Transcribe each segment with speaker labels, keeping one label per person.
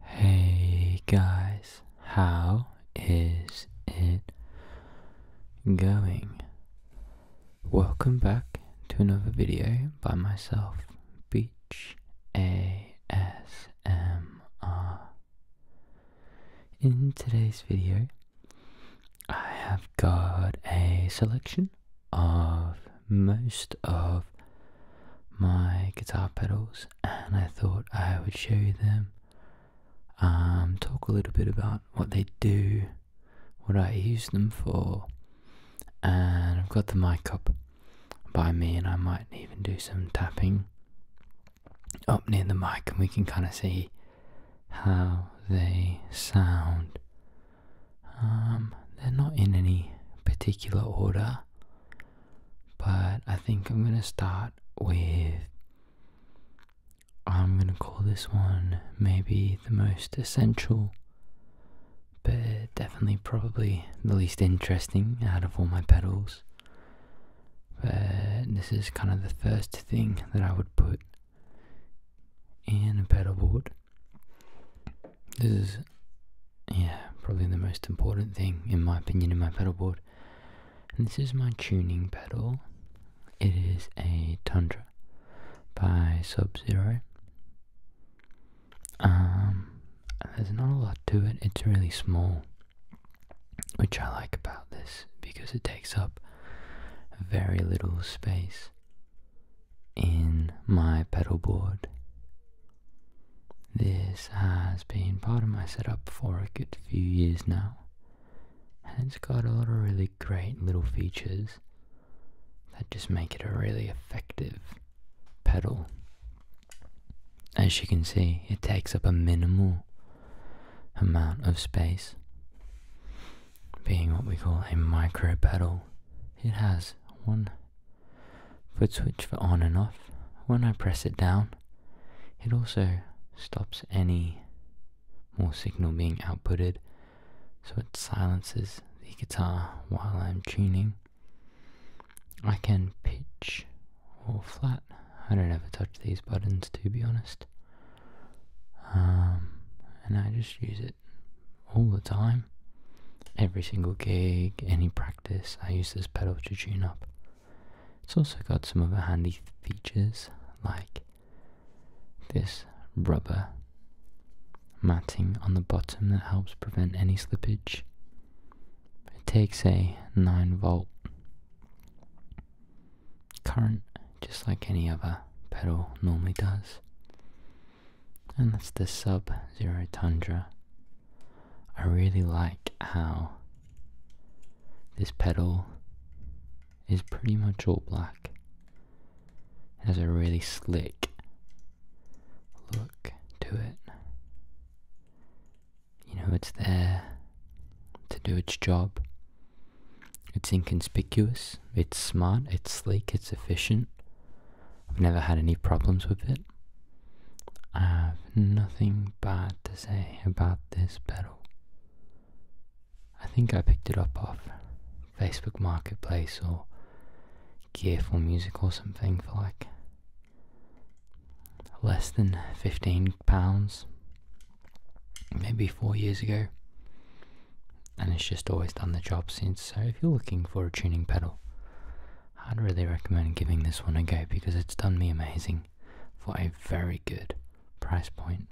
Speaker 1: Hey guys, how is it going? Welcome back to another video by myself, Beach ASMR. In today's video, I have got a selection of most of my guitar pedals and I thought I would show you them. Um, talk a little bit about what they do, what I use them for, and I've got the mic up by me, and I might even do some tapping up near the mic, and we can kind of see how they sound. Um, they're not in any particular order. But I think I'm gonna start with. I'm gonna call this one maybe the most essential, but definitely probably the least interesting out of all my pedals. But this is kind of the first thing that I would put in a pedal board. This is yeah, probably the most important thing in my opinion in my pedalboard. And this is my tuning pedal. It is a Tundra by Sub Zero. Um, there's not a lot to it. It's really small, which I like about this because it takes up very little space in my pedalboard. This has been part of my setup for a good few years now, and it's got a lot of really great little features that just make it a really effective pedal. As you can see, it takes up a minimal amount of space. Being what we call a micro pedal, it has one foot switch for on and off. When I press it down, it also stops any more signal being outputted, so it silences the guitar while I'm tuning. I can pitch or flat. I don't ever touch these buttons to be honest. Um, and I just use it all the time. Every single gig, any practice practice, I use this pedal to tune up. It's also got some other handy features like this rubber matting on the bottom that helps prevent any slippage. It takes a 9 volt current just like any other pedal normally does and that's the Sub Zero Tundra. I really like how this pedal is pretty much all black. It has a really slick look to it. You know, it's there to do its job. It's inconspicuous, it's smart, it's sleek, it's efficient. I've never had any problems with it. I have nothing bad to say about this pedal. I think I picked it up off Facebook Marketplace or Gearful Music or something for like less than £15, maybe four years ago. And it's just always done the job since. So if you're looking for a tuning pedal, I'd really recommend giving this one a go because it's done me amazing for a very good price point.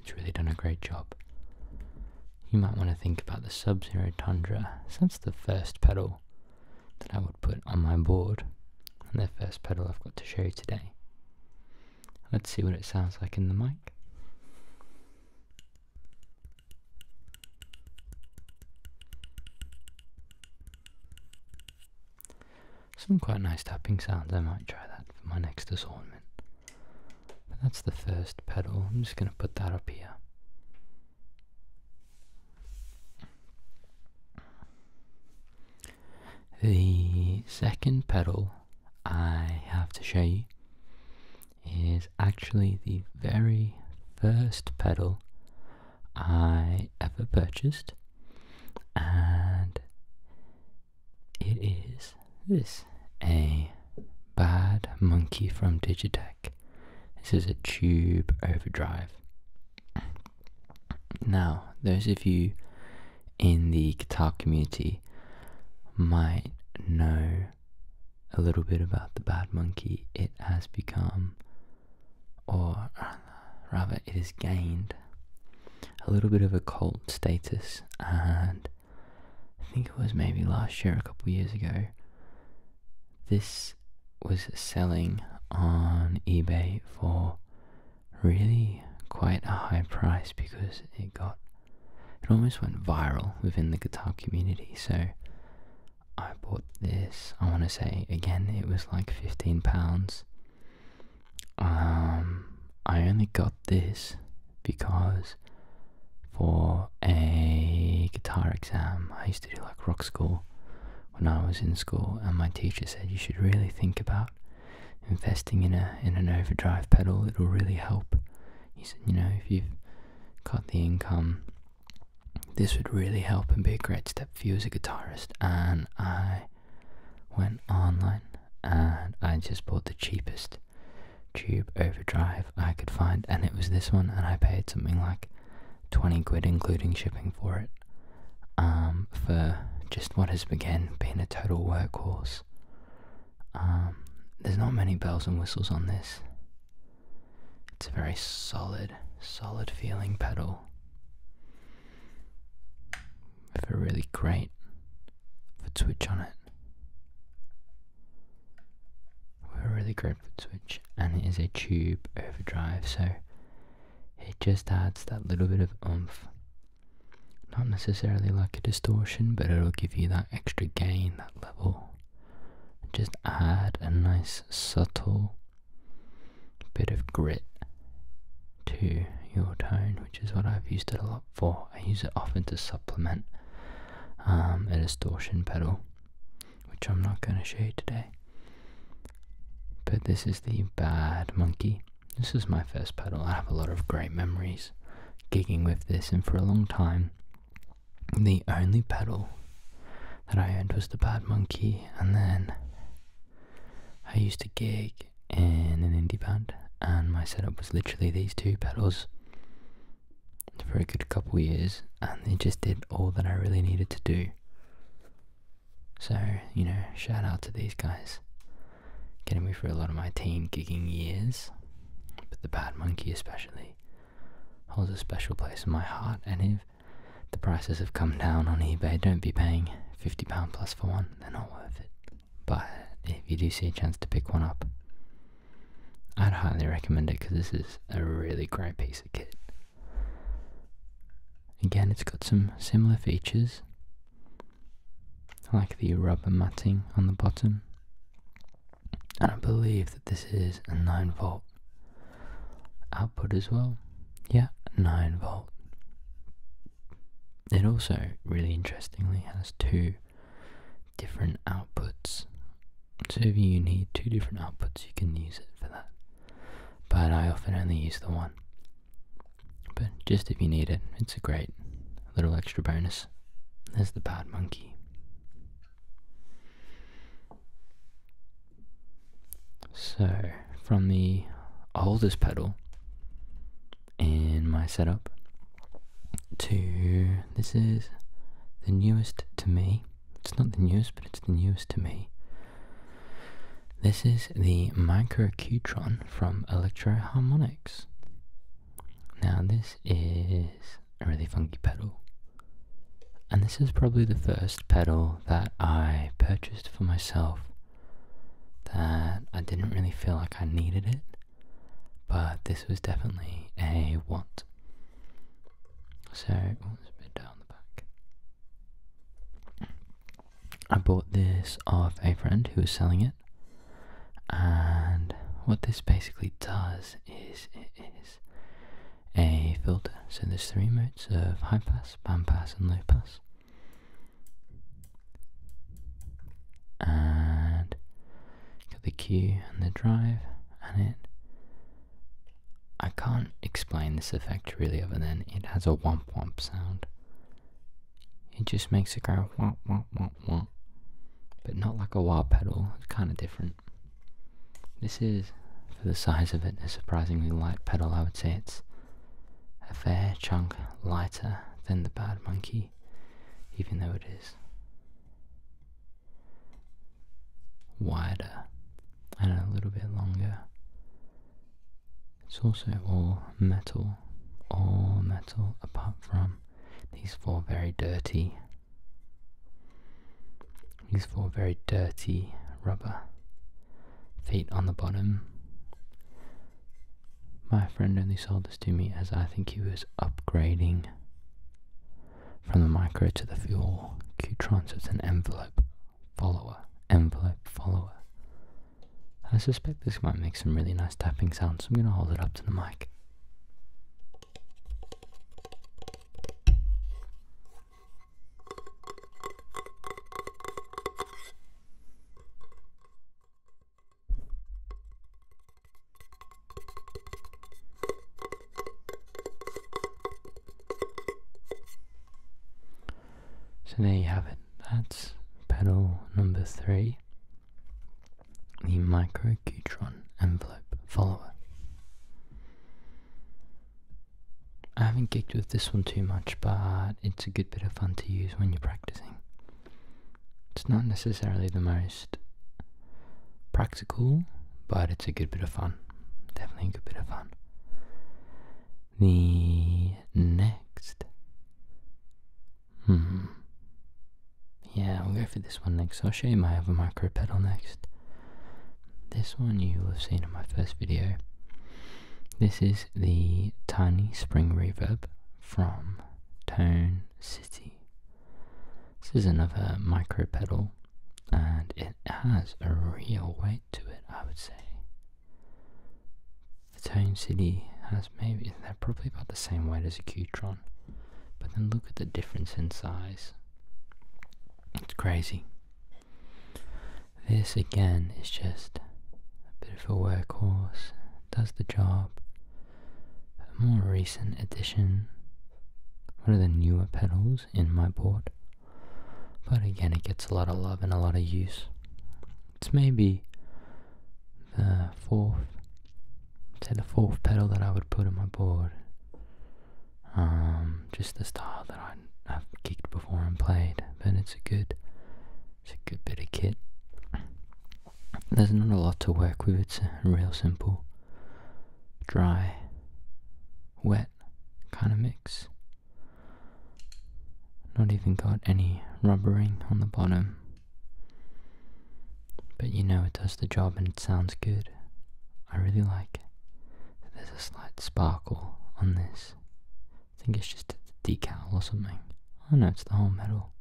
Speaker 1: It's really done a great job. You might want to think about the Sub Zero Tundra, since the first pedal that I would put on my board, and the first pedal I've got to show you today. Let's see what it sounds like in the mic. Some quite nice tapping sounds, I might try that for my next assortment. But that's the first pedal, I'm just going to put that up here. The second pedal I have to show you is actually the very first pedal I ever purchased, and it is this a Bad Monkey from Digitech. This is a tube overdrive. Now, those of you in the guitar community might know a little bit about the Bad Monkey. It has become or rather, it has gained a little bit of a cult status. And I think it was maybe last year, a couple years ago, this was selling on eBay for really quite a high price because it got it almost went viral within the guitar community. So I bought this, I want to say, again, it was like £15. Um, I only got this because for a guitar exam, I used to do like rock school when I was in school, and my teacher said you should really think about investing in a in an overdrive pedal. It'll really help. He said, you know, if you've got the income this would really help and be a great step for you as a guitarist. And I went online and I just bought the cheapest tube overdrive I could find, and it was this one, and I paid something like 20 quid, including shipping for it, um, for just what has again being a total workhorse. Um, there's not many bells and whistles on this. It's a very solid, solid feeling pedal with a really great foot switch on it. With a really great foot switch, and it is a tube overdrive, so it just adds that little bit of oomph. Not necessarily like a distortion, but it'll give you that extra gain, that level. Just add a nice subtle bit of grit to your tone, which is what I've used it a lot for. I use it often to supplement um, a distortion pedal, which I'm not going to show you today. But this is the Bad Monkey. This is my first pedal. I have a lot of great memories gigging with this, and for a long time, the only pedal that I owned was the Bad Monkey, and then I used to gig in an indie band, and my setup was literally these two pedals for a good couple of years, and they just did all that I really needed to do. So, you know, shout out to these guys. Getting me through a lot of my teen gigging years, but the Bad Monkey especially holds a special place in my heart, and if the prices have come down on eBay. Don't be paying £50 plus for one, they're not worth it. But if you do see a chance to pick one up, I'd highly recommend it because this is a really great piece of kit. Again, it's got some similar features like the rubber matting on the bottom. And I believe that this is a 9 volt output as well. Yeah, 9 volt. It also, really interestingly, has two different outputs. So if you need two different outputs, you can use it for that. But I often only use the one. But just if you need it, it's a great little extra bonus. There's the bad monkey. So, from the oldest pedal in my setup to this is the newest to me. It's not the newest, but it's the newest to me. This is the Microcutron from Electro Harmonics. Now, this is a really funky pedal and this is probably the first pedal that I purchased for myself that I didn't really feel like I needed it, but this was definitely a want. So, oh, a bit down the back. I bought this off a friend who was selling it, and what this basically does is a filter. So there's three modes of high pass, band pass, and low pass. And got the cue and the drive, and it. I can't explain this effect really, other than it has a wump wump sound. It just makes it go wump wump wump wump, but not like a wah pedal. It's kind of different. This is, for the size of it, a surprisingly light pedal. I would say it's a fair chunk lighter than the Bad Monkey, even though it is wider and a little bit longer. It's also all metal, all metal apart from these four very dirty these four very dirty rubber feet on the bottom. My friend only sold this to me as I think he was upgrading from the micro to the fuel. Qtrons is an envelope follower. Envelope follower. I suspect this might make some really nice tapping sounds, so I'm going to hold it up to the mic. So there you have it, that's pedal number three, the Micro envelope follower. I haven't gigged with this one too much, but it's a good bit of fun to use when you're practicing. It's not necessarily the most practical, but it's a good bit of fun. Definitely a good bit of fun. The next. Hmm. Yeah, we'll go for this one next. I'll show you my other micro pedal next. This one you will have seen in my first video. This is the Tiny Spring Reverb from Tone City. This is another micro pedal and it has a real weight to it, I would say. The Tone City has maybe, they're probably about the same weight as a Qtron, but then look at the difference in size. It's crazy. This again is just a bit of a workhorse, does the job. A more recent addition, one of the newer pedals in my board, but again it gets a lot of love and a lot of use. It's maybe the fourth, say the fourth pedal that I would put on my board. Um, just the style that I, have kicked before and played, but it's a good, it's a good bit of kit. There's not a lot to work with. It's real simple, dry, wet kind of mix. Not even got any rubbering on the bottom. But you know it does the job and it sounds good. I really like it. There's a slight sparkle on this. I think it's just a decal or something. Oh no, it's the whole metal.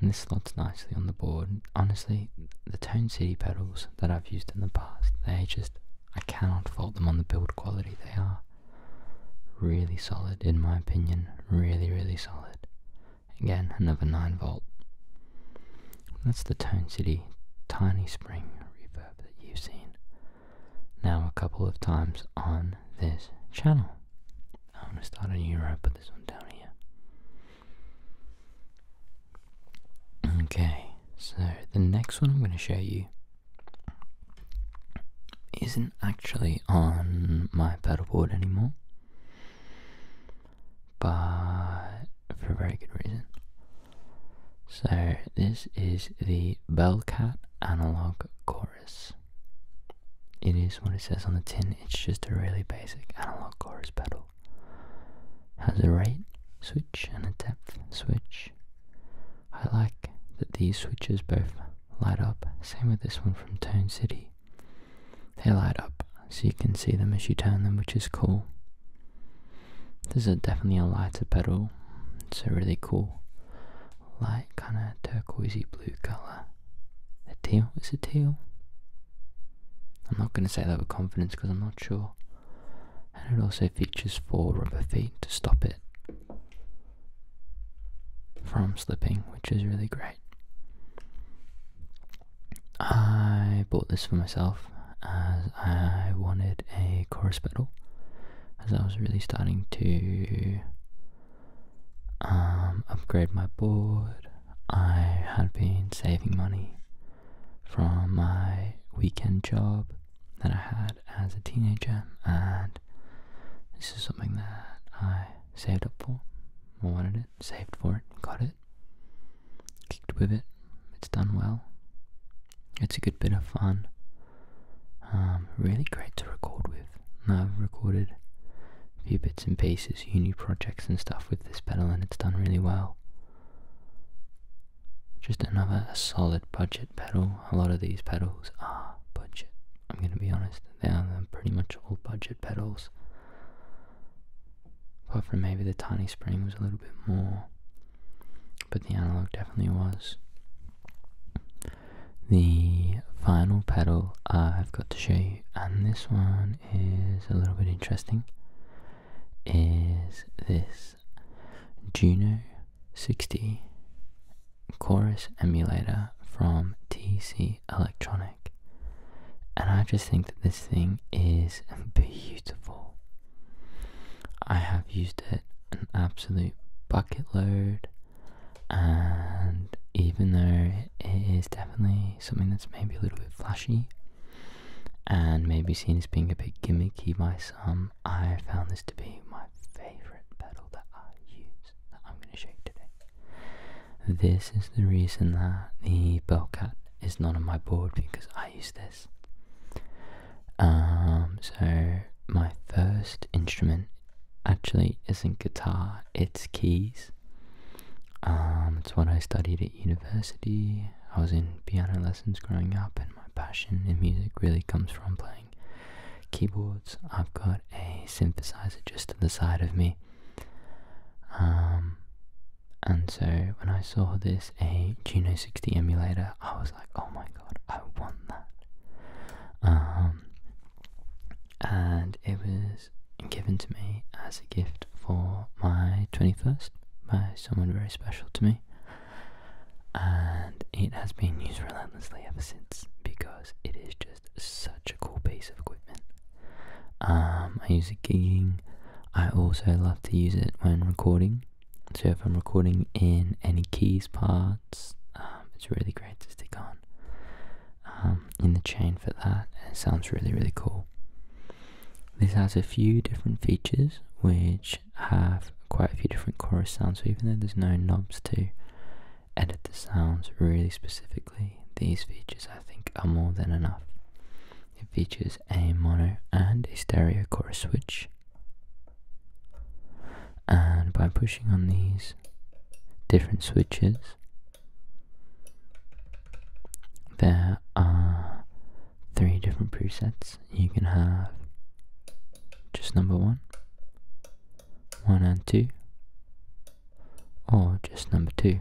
Speaker 1: And this slots nicely on the board. Honestly, the Tone City pedals that I've used in the past, they just, I cannot fault them on the build quality. They are really solid, in my opinion. Really, really solid. Again, another 9 volt. That's the Town City Tiny Spring reverb that you've seen now a couple of times on this channel. I'm going to start a new row, put this one down here. Okay, so the next one I'm going to show you isn't actually on my pedalboard anymore but for a very good reason. So, this is the Bellcat Analog Chorus. It is what it says on the tin, it's just a really basic analog chorus pedal. Has a rate switch and a depth switch. I like that these switches both light up, same with this one from Tone City. They light up so you can see them as you turn them which is cool. This is definitely a lighter pedal. it's a really cool light kind of turquoisey blue colour. A teal? Is it teal? I'm not going to say that with confidence because I'm not sure. And it also features four rubber feet to stop it from slipping, which is really great. I bought this for myself as I wanted a chorus pedal, as I was really starting to um, upgrade my board. I had been saving money from my weekend job that I had as a teenager, and this is something that I saved up for. I wanted it, saved for it, got it kicked with it. It's done well. It's a good bit of fun. Um, really great to record with. I've recorded a few bits and pieces, uni projects and stuff with this pedal, and it's done really well. Just another solid budget pedal. A lot of these pedals are budget. I'm going to be honest, they are pretty much all budget pedals. Apart from maybe the tiny spring was a little bit more, but the analog definitely was. The final pedal I've got to show you, and this one is a little bit interesting, is this Juno 60 chorus emulator from TC Electronic. And I just think that this thing is beautiful. I have used it an absolute bucket load, and even though it is definitely something that's maybe a little bit flashy and maybe seen as being a bit gimmicky by some, I found this to be my favourite pedal that I use that I'm going to shake today. This is the reason that the Bellcat is not on my board because I use this. Um, so my first instrument actually isn't guitar, it's keys. Um, it's what I studied at university. I was in piano lessons growing up, and my passion in music really comes from playing keyboards. I've got a synthesizer just to the side of me. Um, and so when I saw this a Juno 60 emulator, I was like, oh my god, I want that. Um, and it was given to me as a gift for my 21st by someone very special to me. And it has been used relentlessly ever since because it is just such a cool piece of equipment. Um, I use it gigging, I also love to use it when recording. So if I'm recording in any keys parts, um, it's really great to stick on um, in the chain for that. It sounds really really cool. This has a few different features which have quite a few different chorus sounds. So even though there's no knobs to edit the sounds really specifically, these features I think are more than enough. It features a mono and a stereo chorus switch. And by pushing on these different switches, there are three different presets. You can have just number one, one and two, or just number two.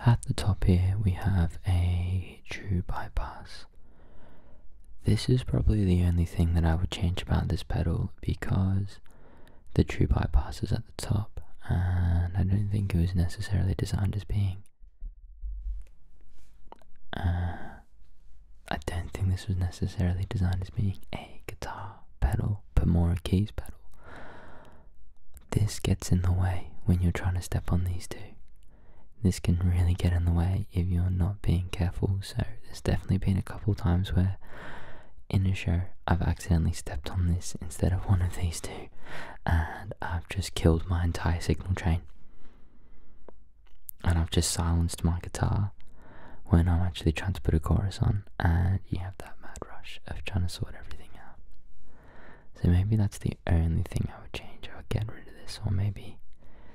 Speaker 1: At the top here we have a true bypass. This is probably the only thing that I would change about this pedal because the true bypass is at the top and I don't think it was necessarily designed as being. Uh, I don't think this was necessarily designed as being a guitar pedal, but more a keys pedal. This gets in the way when you're trying to step on these two. This can really get in the way if you're not being careful. So, there's definitely been a couple times where in a show I've accidentally stepped on this instead of one of these two, and I've just killed my entire signal chain. And I've just silenced my guitar when I'm actually trying to put a chorus on, and you have that mad rush of trying to sort everything out. So maybe that's the only thing I would change. I would get rid of this or maybe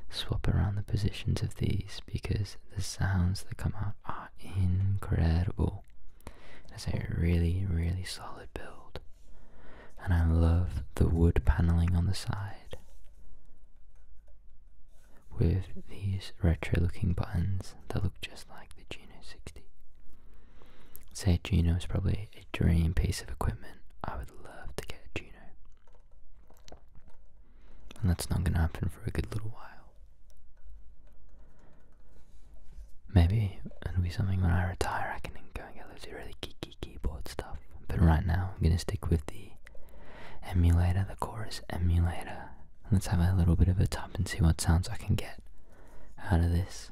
Speaker 1: swap around the positions of these because the sounds that come out are incredible. It's a really, really solid build. And I love the wood paneling on the side with these retro looking buttons that look just like the Juno 60. say Juno is probably dream piece of equipment. I would love to get a Juno. And that's not going to happen for a good little while. Maybe it'll be something when I retire I can go and get loads of really geeky keyboard stuff. But right now I'm going to stick with the emulator, the chorus emulator. Let's have a little bit of a tap and see what sounds I can get out of this.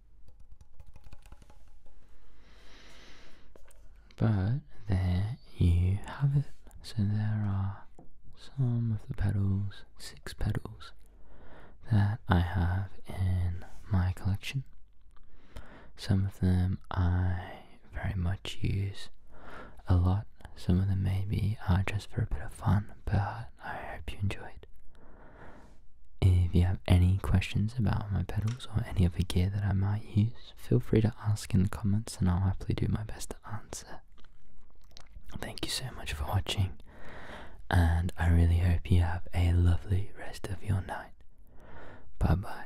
Speaker 1: But there you have it. So there are some of the pedals, six pedals, that I have in my collection. Some of them I very much use a lot, some of them maybe are just for a bit of fun, but I hope you enjoyed. If you have any questions about my pedals or any other gear that I might use, feel free to ask in the comments and I'll happily do my best to answer. Thank you so much for watching, and I really hope you have a lovely rest of your night. Bye bye.